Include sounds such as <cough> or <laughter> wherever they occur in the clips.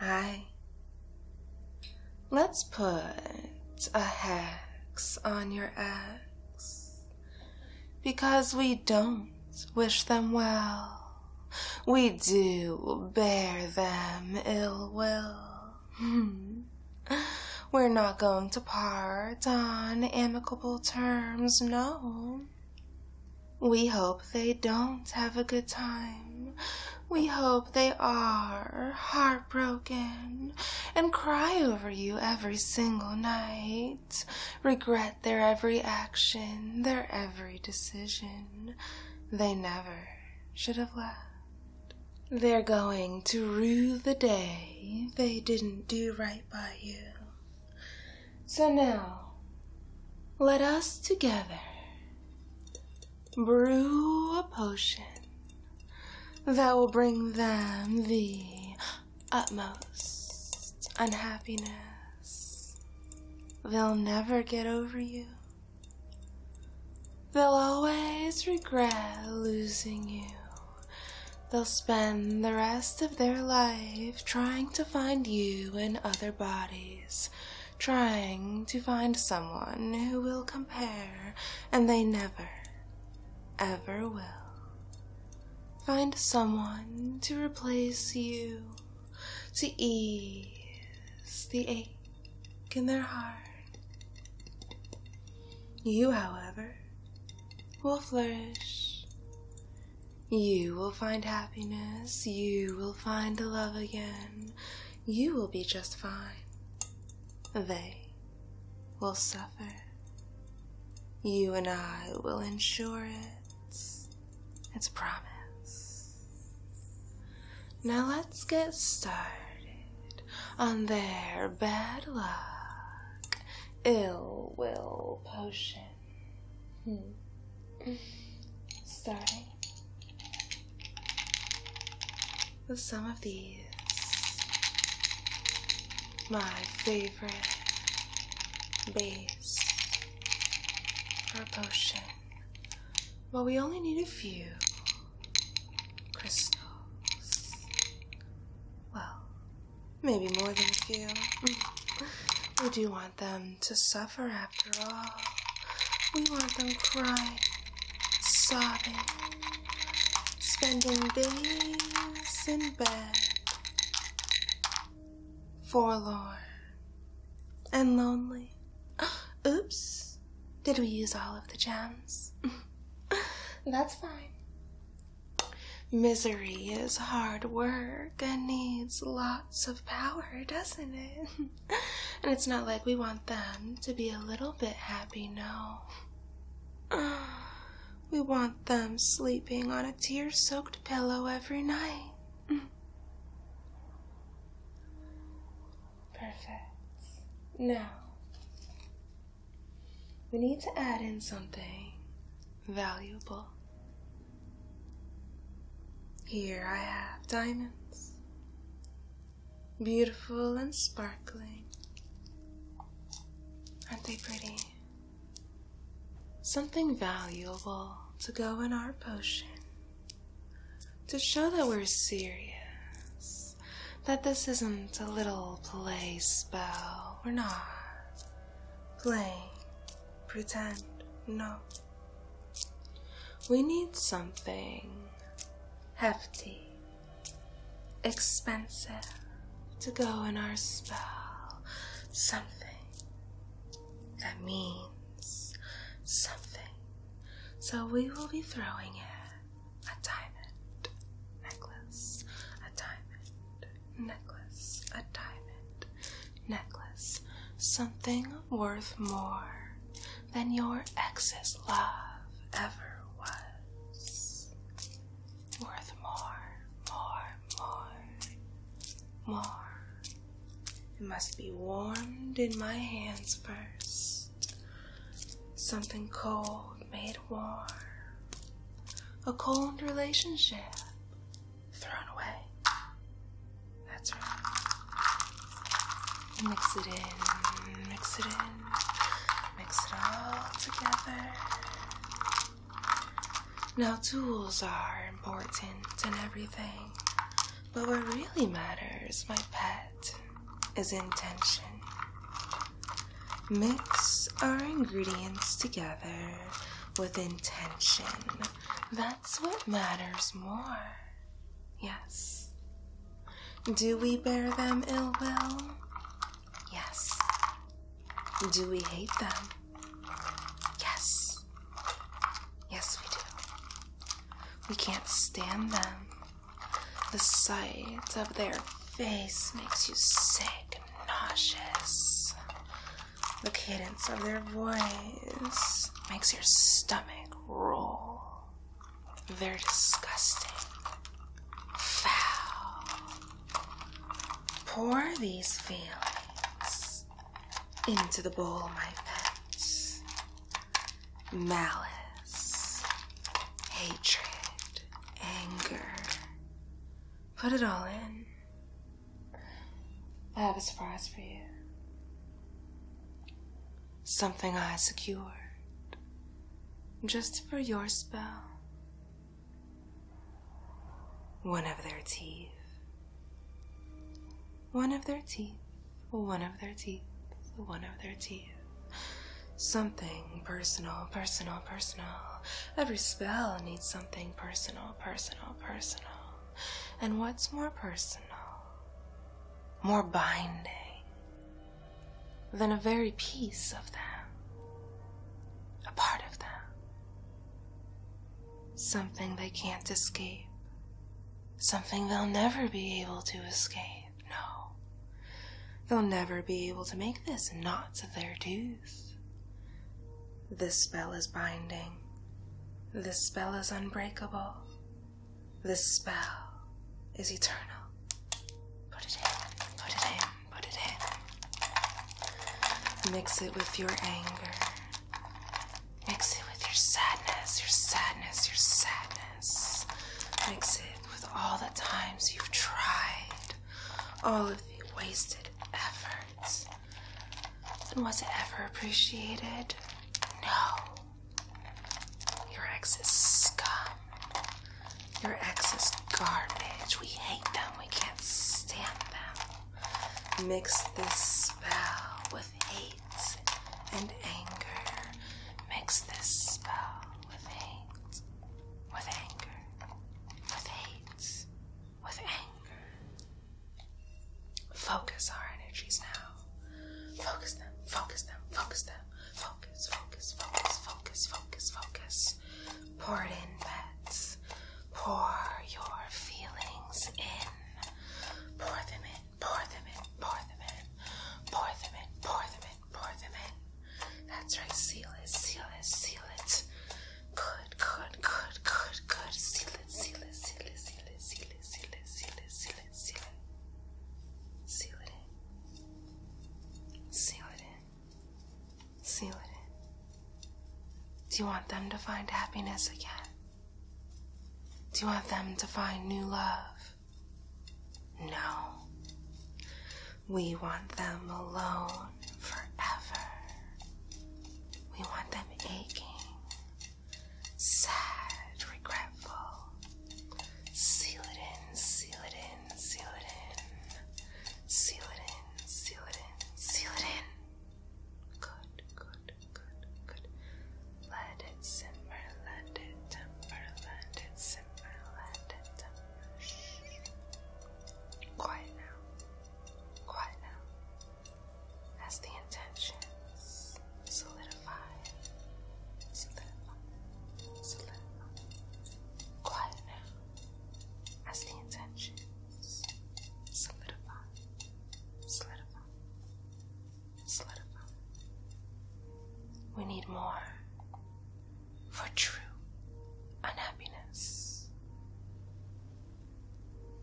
Hi. Let's put a hex on your ex because we don't wish them well. We do bear them ill will. Hmm. We're not going to part on amicable terms, no. We hope they don't have a good time. We hope they are heartbroken and cry over you every single night, regret their every action, their every decision. They never should have left. They're going to rue the day they didn't do right by you. So now, let us together brew a potion that will bring them the utmost unhappiness. They'll never get over you. They'll always regret losing you. They'll spend the rest of their life trying to find you in other bodies trying to find someone who will compare, and they never, ever will. Find someone to replace you, to ease the ache in their heart. You, however, will flourish you will find happiness. You will find love again. You will be just fine. They will suffer. You and I will ensure it. It's a promise. Now let's get started on their bad luck, ill will potion. Hmm. Sorry. With some of these, my favorite bees, are potion. Well, we only need a few crystals. Well, maybe more than a few. <laughs> What do you want want them to suffer after all. We want them crying, sobbing, spending days in bed, forlorn and lonely. <gasps> Oops, did we use all of the gems? <laughs> That's fine. Misery is hard work and needs lots of power, doesn't it? <laughs> and it's not like we want them to be a little bit happy, no. <sighs> We want them sleeping on a tear soaked pillow every night. <laughs> Perfect. Now, we need to add in something valuable. Here I have diamonds, beautiful and sparkling. Aren't they pretty? Something valuable to go in our potion to show that we're serious, that this isn't a little play spell. We're not playing, pretend, no. We need something hefty, expensive to go in our spell. Something that means something. So we will be throwing in a diamond necklace, a diamond necklace, a diamond necklace, something worth more than your ex's love ever was. Worth more, more, more, more. It must be warmed in my hands first. Something cold made warm. A cold relationship thrown away. That's right. Mix it in, mix it in, mix it all together. Now, tools are important and everything, but what really matters, my pet, is intention. Mix our ingredients together with intention. That's what matters more. Yes. Do we bear them ill will? Yes. Do we hate them? Yes. Yes, we do. We can't stand them. The sight of their face makes you sick nauseous. The cadence of their voice makes your stomach roll. They're disgusting. Foul. Pour these feelings into the bowl, my pets. Malice, hatred, anger. Put it all in. I have a surprise for you. Something I secured just for your spell. One of their teeth. One of their teeth. One of their teeth. One of their teeth. Something personal, personal, personal. Every spell needs something personal, personal, personal. And what's more personal, more binding than a very piece of them, a part of them, something they can't escape, something they'll never be able to escape? No, they'll never be able to make this not their dues. This spell is binding. This spell is unbreakable. This spell is eternal. Put it in, put it in, put it in. Mix it with your anger. Mix it with your sadness, your sadness, your sadness. Mix it with all the times you've tried, all of the wasted efforts, and was it ever appreciated? No. Your ex is scum. Your ex is garbage. We hate them. We can't stand them. Mix this spell with hate and anger. Mix this spell with hate, with anger, with hate, with anger. Focus our energies now. Focus them, focus them, focus them. Focus, focus, focus, focus, focus, focus. Pour it in, pets. Pour your feelings in. Pour them in, pour them in, pour them in. Pour them in, pour them in, pour them in. That's right, seal it, seal it, seal it. Good, good, good, good, good. Seal it, seal it, seal it, seal it, seal it, seal it, seal it, seal it, seal it. Seal it in. Seal it in. Seal it in. Do you want them to find happiness again? Do you want them to find new love? No. We want them alone forever. We want them aching, sad, regretful. Seal it in, seal it in, seal it in. Seal it in, seal it in, seal it in. Good, good, good, good. Let it simmer, let it temper, let it simmer, let it temper. Quiet now. Quiet now as the intentions solidify, solidify, solidify. Quiet now as the intentions solidify, solidify, solidify. We need more for true unhappiness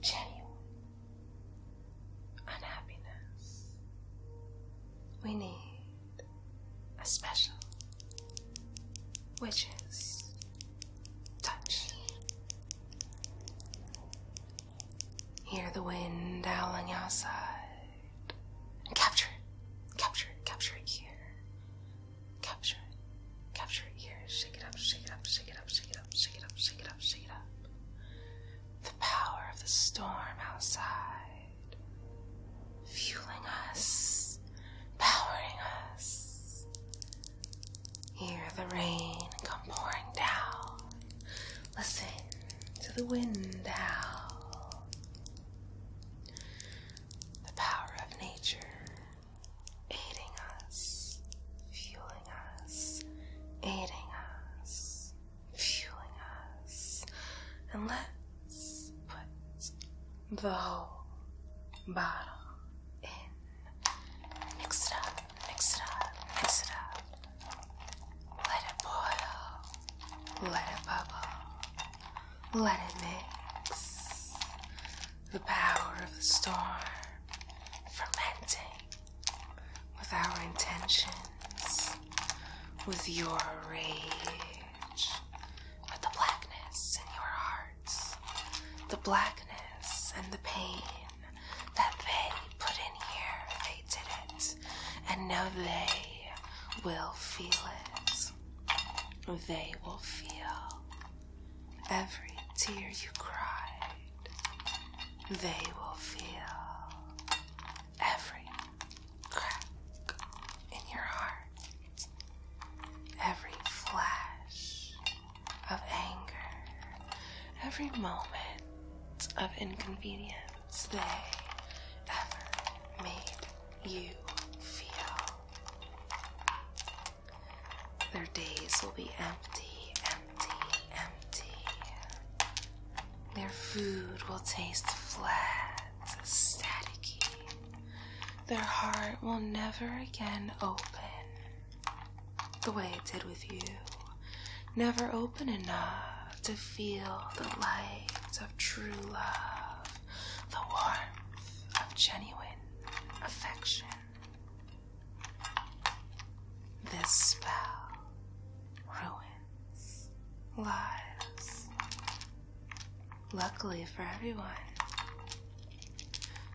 genuine unhappiness, we need a special, which is touch. Hear the wind howling outside and capture it, capture it, capture it here. Capture it, capture it here. Shake it up, shake it up, shake it up, shake it up shake it up, shake it up, shake it up. The power of the storm outside, fueling us, powering us. Hear the rain come pouring down. Listen to the wind howl. The power of nature aiding us, fueling us, aiding us, fueling us. And let's put the whole bottle in. Mix it up, mix it up, mix it up. Let it boil, let it bubble, let it mix the power of the storm fermenting with our intentions, with your rage, with the blackness in your hearts, the blackness and the pain that they put in here. They did it, and now they will feel it. They will feel every tear you cried, they will feel every crack in your heart, every flash of anger, every moment of inconvenience they ever made you feel. Their days will be empty, empty, empty. Their food will taste flat, staticky. Their heart will never again open the way it did with you. Never open enough to feel the light of true love, the warmth of genuine affection. This spell ruins lives. Luckily for everyone,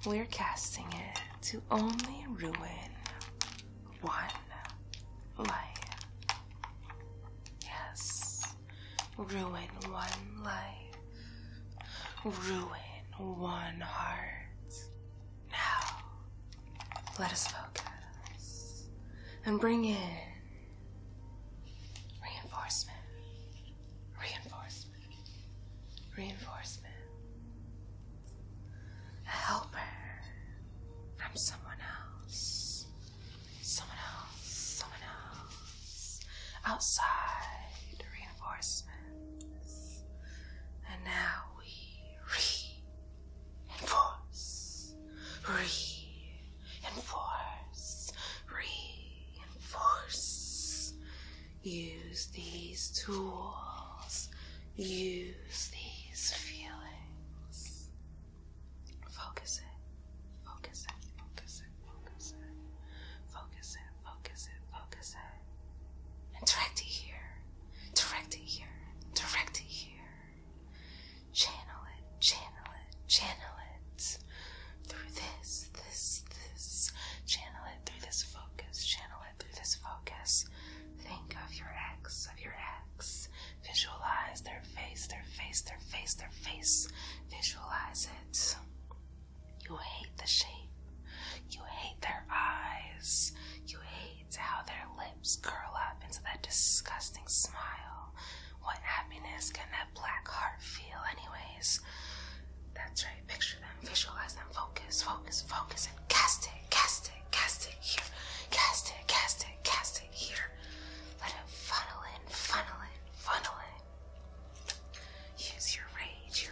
we're casting it to only ruin one life. Yes, ruin one life ruin one heart. Now, let us focus and bring in reinforcement, reinforcement, reinforcement. A helper from someone else, someone else, someone else outside. Enforcement, And now we re re enforce, enforce, re enforce. Use these tools, use these feelings. Focus it, focus it, focus it, focus it, focus it, focus it, focus it direct it here, direct it here, direct it here. Channel it, channel it, channel it through this, this, this. Channel it through this focus, channel it through this focus. Think of your ex, of your ex. Visualize their face, their face, their face, their face. Visualize it. You hate the shape. You hate their eyes. You hate how their lips curl up into that disgusting smile. What happiness can that black heart feel, anyways? That's right. Picture them, visualize them, focus, focus, focus, and cast it, cast it, cast it here. Cast it, cast it, cast it here. Let it funnel in, funnel in, funnel in. Use your rage,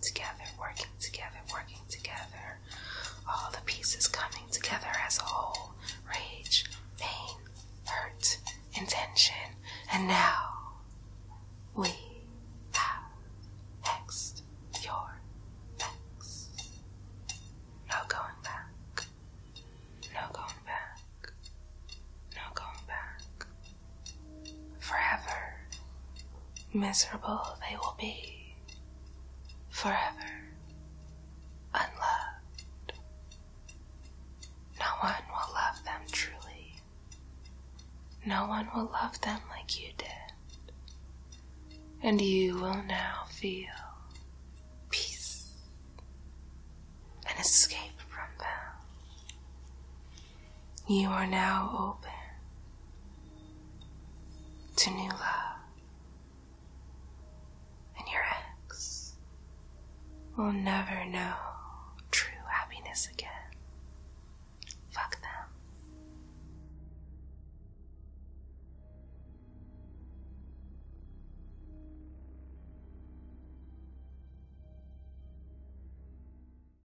together, working together, working together. All the pieces coming together as a whole rage, pain, hurt, intention, And now we have hexed your hex. No going back. No going back. No going back. Forever miserable they will be, forever unloved. No one will love them truly. No one will love them like you did. And you will now feel peace and escape from them. You are now open to new love, and your ex will never know true happiness again. Fuck them.